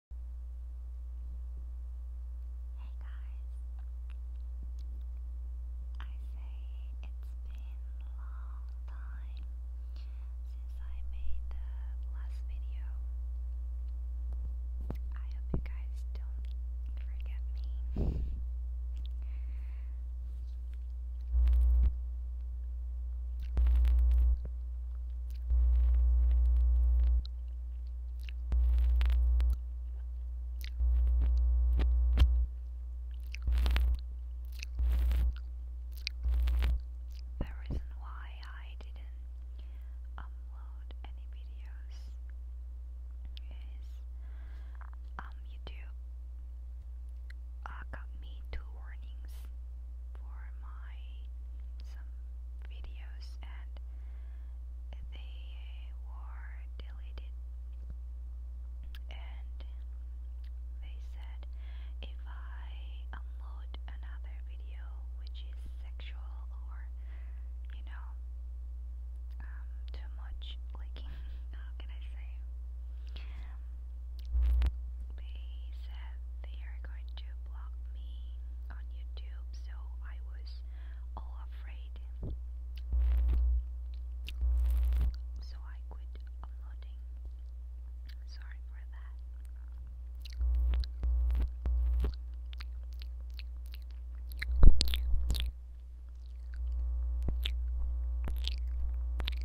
Hey guys, I say it's been a long time since I made the last video. I hope you guys don't forget me. The reason why I didn't upload any videos is um YouTube uh, got me to warnings for my some videos and they were deleted and they said if I upload another video which is sexual or you know um, too much like how can I say they said they are going to block me on YouTube, so I was all afraid. So I quit uploading. Sorry for that.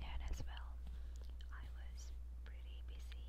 And as well, I was pretty busy.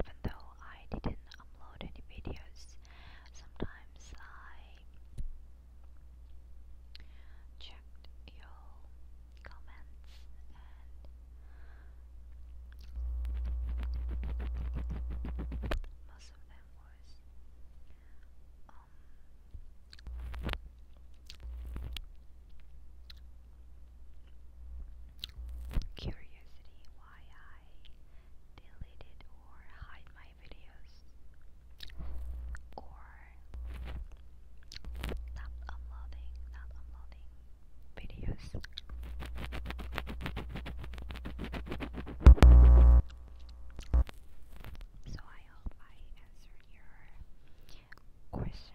Even though I didn't upload any videos, sometimes I checked your comments and most of them was curiosity why I deleted or hide my videos or not uploading, not uploading videos. So I hope I answered your questions.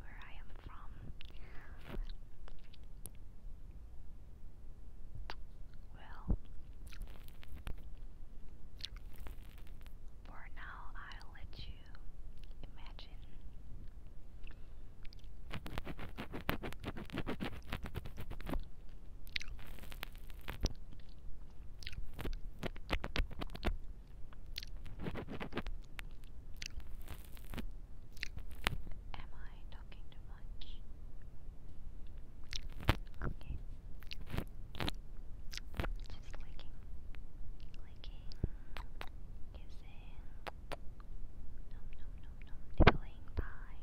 where I am from. Well, for now, I'll let you imagine. Am I talking too much? Okay. Just licking. Licking. Kissing. Nom nom nom nom. Nibbling time.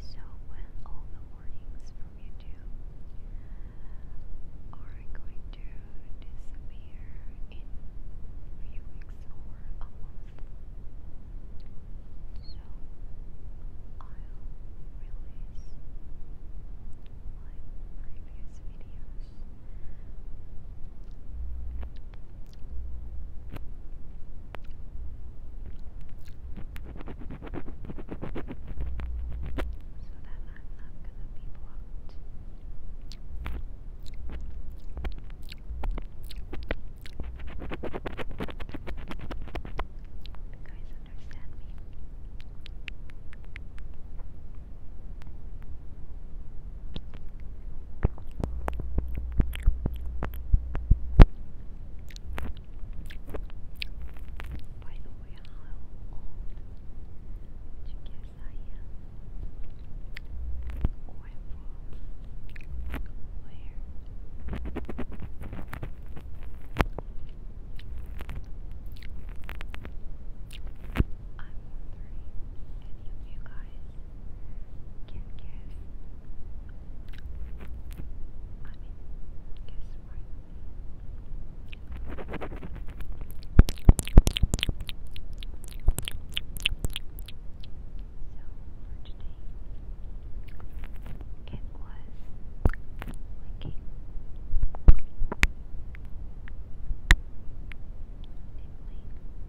So when all the warnings from YouTube are going to disappear in few weeks or a month, so I'll release my previous videos that I'm not gonna be blocked. You guys understand me? By the way, how old do you guess I am? Or I'm from? Where? I'm wondering, any of you guys can guess. I mean, guess right. So for today. It was licking. Nibbling.